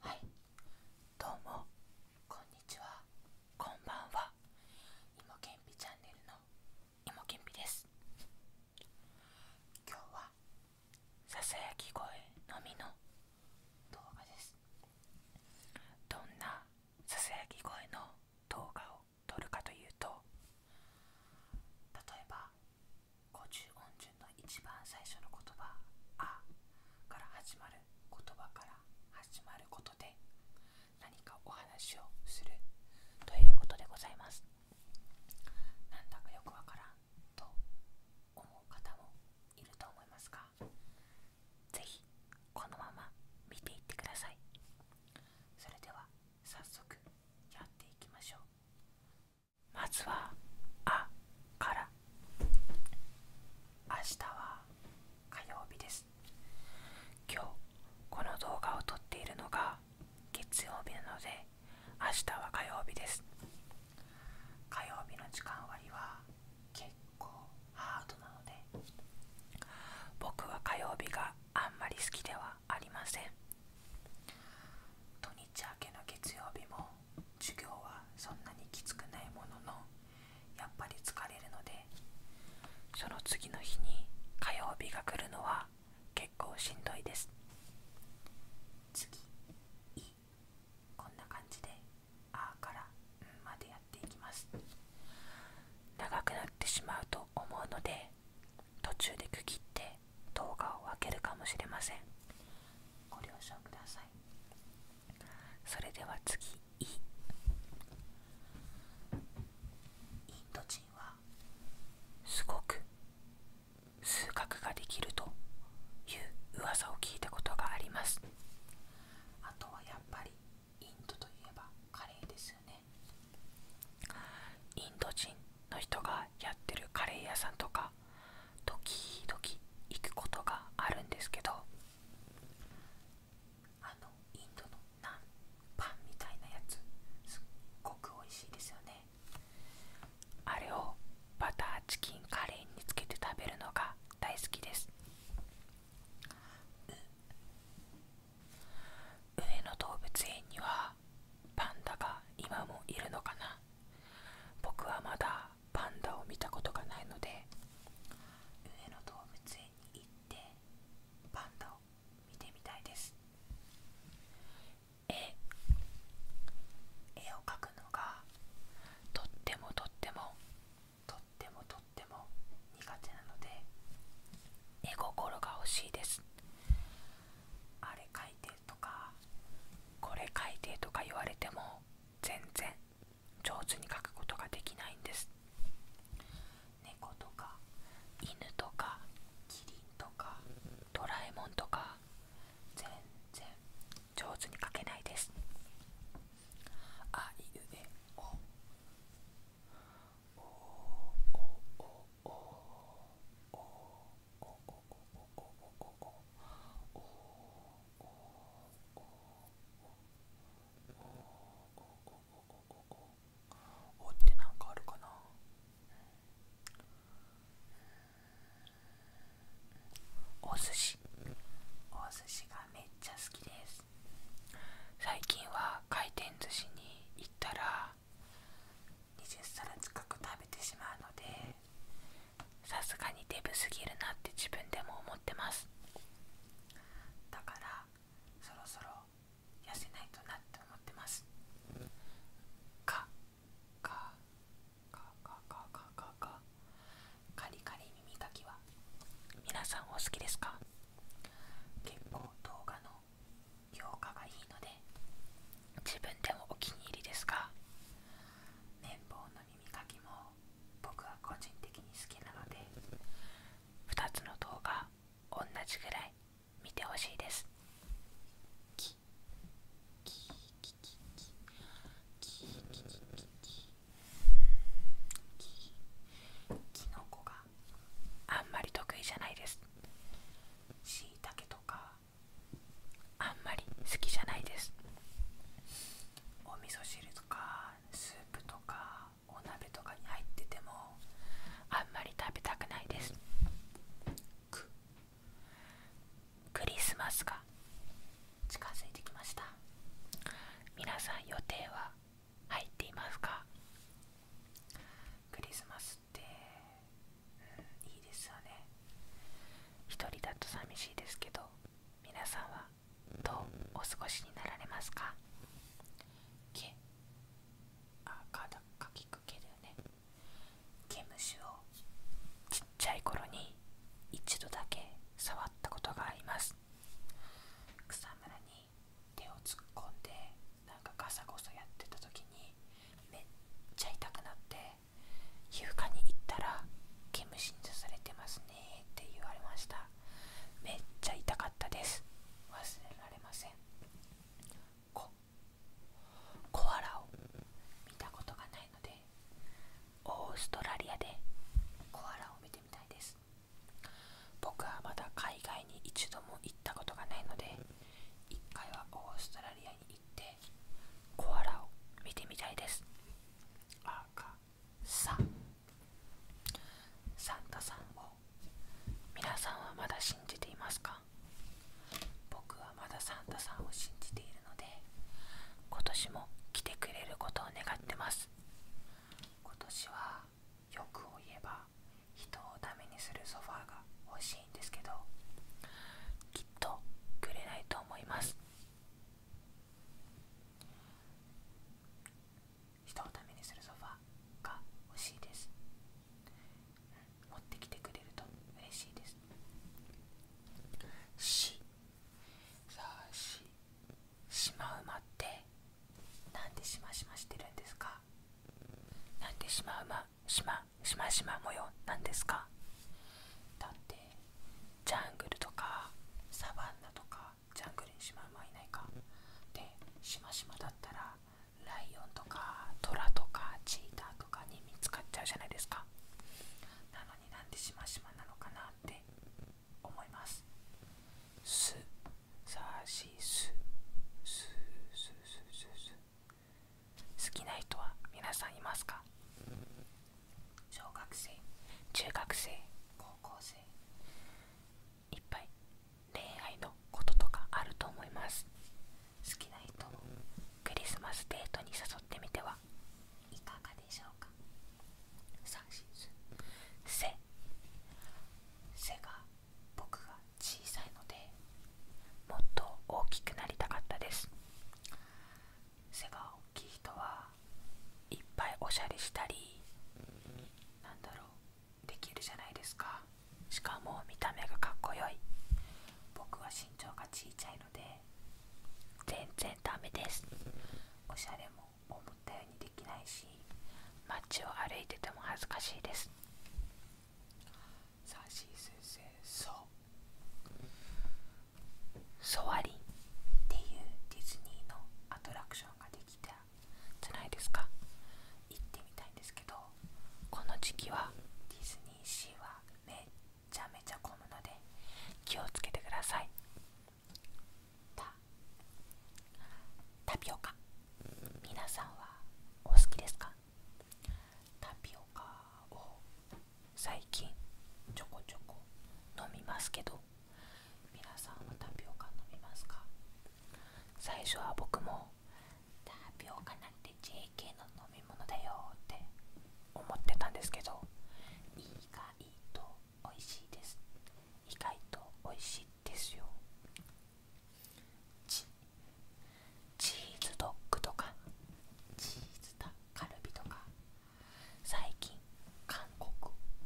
はいどうもこんにちはこんばんはいけんぴチャンネルのいけんぴです今日はささやき声のみの動画ですどんなささやき声の動画を取るかというと例えば五十音順の一番最初の言葉「あ」から始まる言葉から始まることで何かお話をするということでございます。なんだかよくわからんと思う方もいると思いますがぜひこのまま見ていってください。それでは早速やっていきましょうまずは「あ」から明日は火曜日です今日この動画を撮っているのが月曜日なので明日は火曜日です火曜日の時間割は結構ハードなので僕は火曜日があんまり好きではありません土日明けの月曜日も授業はそんなにきつくないもののやっぱり疲れるのでその次の日に火曜日が来るのは結構しんどいです次いこんな感じで「あ」から「ん」までやっていきます長くなってしまうと思うので途中で区切って動画を分けるかもしれませんご了承くださいそれでは次「イ」インド人はすごく数学ができるという噂を聞いたことがありますあとはやっぱりインドといえばカレーですよねインド人の人がやってるカレー屋さんとか時々行くことがあるんですけどあのインドのナンパンみたいなやつすっごく美味しいですよねあれをバターチキンカレーにつけて食べるのが大好きです上野動物園にはパンダが今もいるのかな僕はまだパンダを見たことがないので上野動物園に行ってパンダを見てみたいです絵絵を描くのがとってもとってもとってもとっても苦手なので絵心が欲しいですあれ書いてとかこれ書いてとか言われても全然上手に描くことができないんです猫とか犬とかキリンとかドラえもんとか全然上手に描けないですあいうえおおってなんかあるかなお寿司お寿司がめっちゃ好きです最近は回転寿司に行ったら20皿近く食べてしまうのでさすがにデブすぎるなって自分でも思ってますだからそろそろ痩せないとなって思ってますかかかかかかかかカリカリ耳かきは皆さんお好きですか結構動画の評価がいいので自分でもお気に入りですが綿棒の耳かきも僕は個人的に好きなので2つの動画同じぐらい見てほしいですききのこがあんまり得意じゃないですしいたけとかあんまり好きじゃないですお味噌汁とかスープとかお鍋とかに入っててもあんまり食べたくないですくクリスマスが近づいてきました皆さん予定は入っていますかクリスマスって、いいですよね一人だと寂しいですけど皆さんはどうお過ごしになられますか毛あかだかきく毛だよね毛虫をちっちゃい頃にに一度だけ触ったことがあります草むらに手を突っ込んでなんかガサゴソやってた時にめっちゃ痛くなって皮膚科に行ったら毛虫に刺されてますねって言われましためっちゃ痛かったです忘れられませんココアラを見たことがないのでオーストラリアでコアラを見てみたいです僕はまだ海外に一度も行ったことがないので一回はオーストラリアに行ってコアラを見てみたいですあかさサンタさんを皆さんはまだ信じていますか僕はまだサンタさんを信じているので今年も来てくれることを願ってます今年は欲を言えば人をダメにするソファーが欲しいんですけどきっとくれないと思います人をダメにするソファーが欲しいです、うん、持ってきてくれると嬉しいですしさあマウマってなんでシマシマしてるんですかなんでシマウマシマシマシマ模様なんですかだってジャングルとかサバンナとかジャングルにシマウマいないかでシマシマだったらライオンとかトラとかチーターとかに見つかっちゃうじゃないですかなのになんでしましまなのかなって思います好きな人は皆さんいますか小学生中学生高校生いっぱい恋愛のこととかあると思います好きな人クリスマスデートに誘ってみてはいかがでしょうか3シーズン「背」背が僕が小さいのでもっと大きくなりたかったです背が大きい人はいっぱいおしゃれしたりなんだろうできるじゃないですかしかも見た目がかっこよい僕身長が小さいので全然ダメですおしゃれも思ったようにできないし街を歩いてても恥ずかしいですさあ C 先生そうソワリンっていうディズニーのアトラクションができたじゃないですか行ってみたいんですけどこの時期はディズニーシーはめちゃめちゃ混むので気をつけてくださいタタピオカ皆さんはお好きですかタピオカを最近ちょこちょこ飲みますけど皆さんはタピオカ飲みますか最初は僕もタピオカなんて JK の飲み物だよって思ってたんですけど意外と美味しいです意外と美味しいですよチチーズドッグとかチーズタカルビとか最近韓国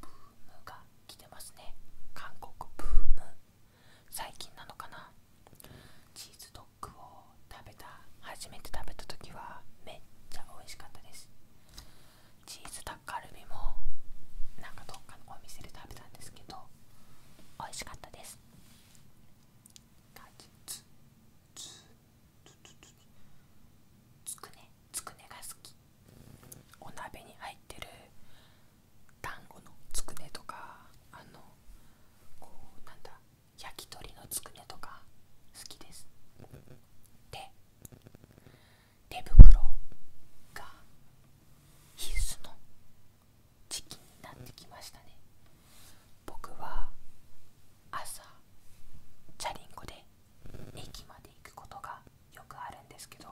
ブームが来てますね韓国ブーム最近なのかなチーズドッグを食べた初めて食べた時はめっちゃ美味しかったですチーズタッカルビもなんかどっかのお店で食べたんですけど美味しかったですつつつつつつくねつくねが好きお鍋に入ってる団子のつくねとかあのこうなんだ焼き鳥のつくねとか好きですで手袋が必須の時期になってきましたね僕は朝チャリンコで駅まで行くことがよくあるんですけど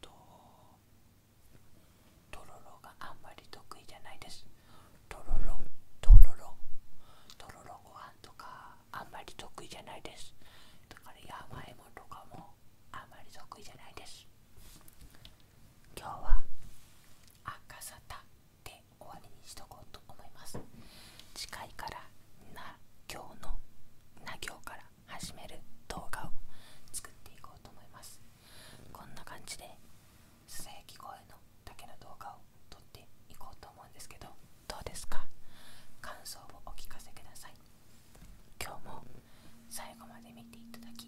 ととろろがあんまり得意じゃないですとろろとろろとろろご飯とかあんまり得意じゃないですだから山芋とかもあんまり得意じゃないです今日は赤沙汰で終わりにしとこうと思います次回からな行のな行から始める動画を作っていこうと思いますこんな感じでささやき声のだけの動画を撮っていこうと思うんですけどどうですか感想をお聞かせください今日も最後まで見ていただき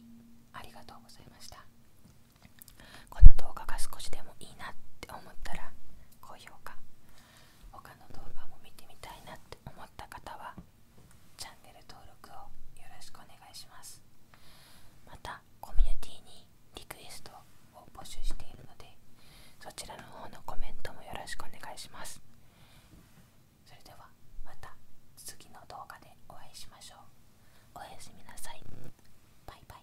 ありがとうございましたこの動画が少しでもいいなって思ったら高評価他の動画も見てみたいなって思った方はチャンネル登録をよろしくお願いしますまたコミュニティにリクエストを募集しているのでそちらの方のコメントもよろしくお願いしますそれではまた次の動画でお会いしましょうおやすみなさいバイバイ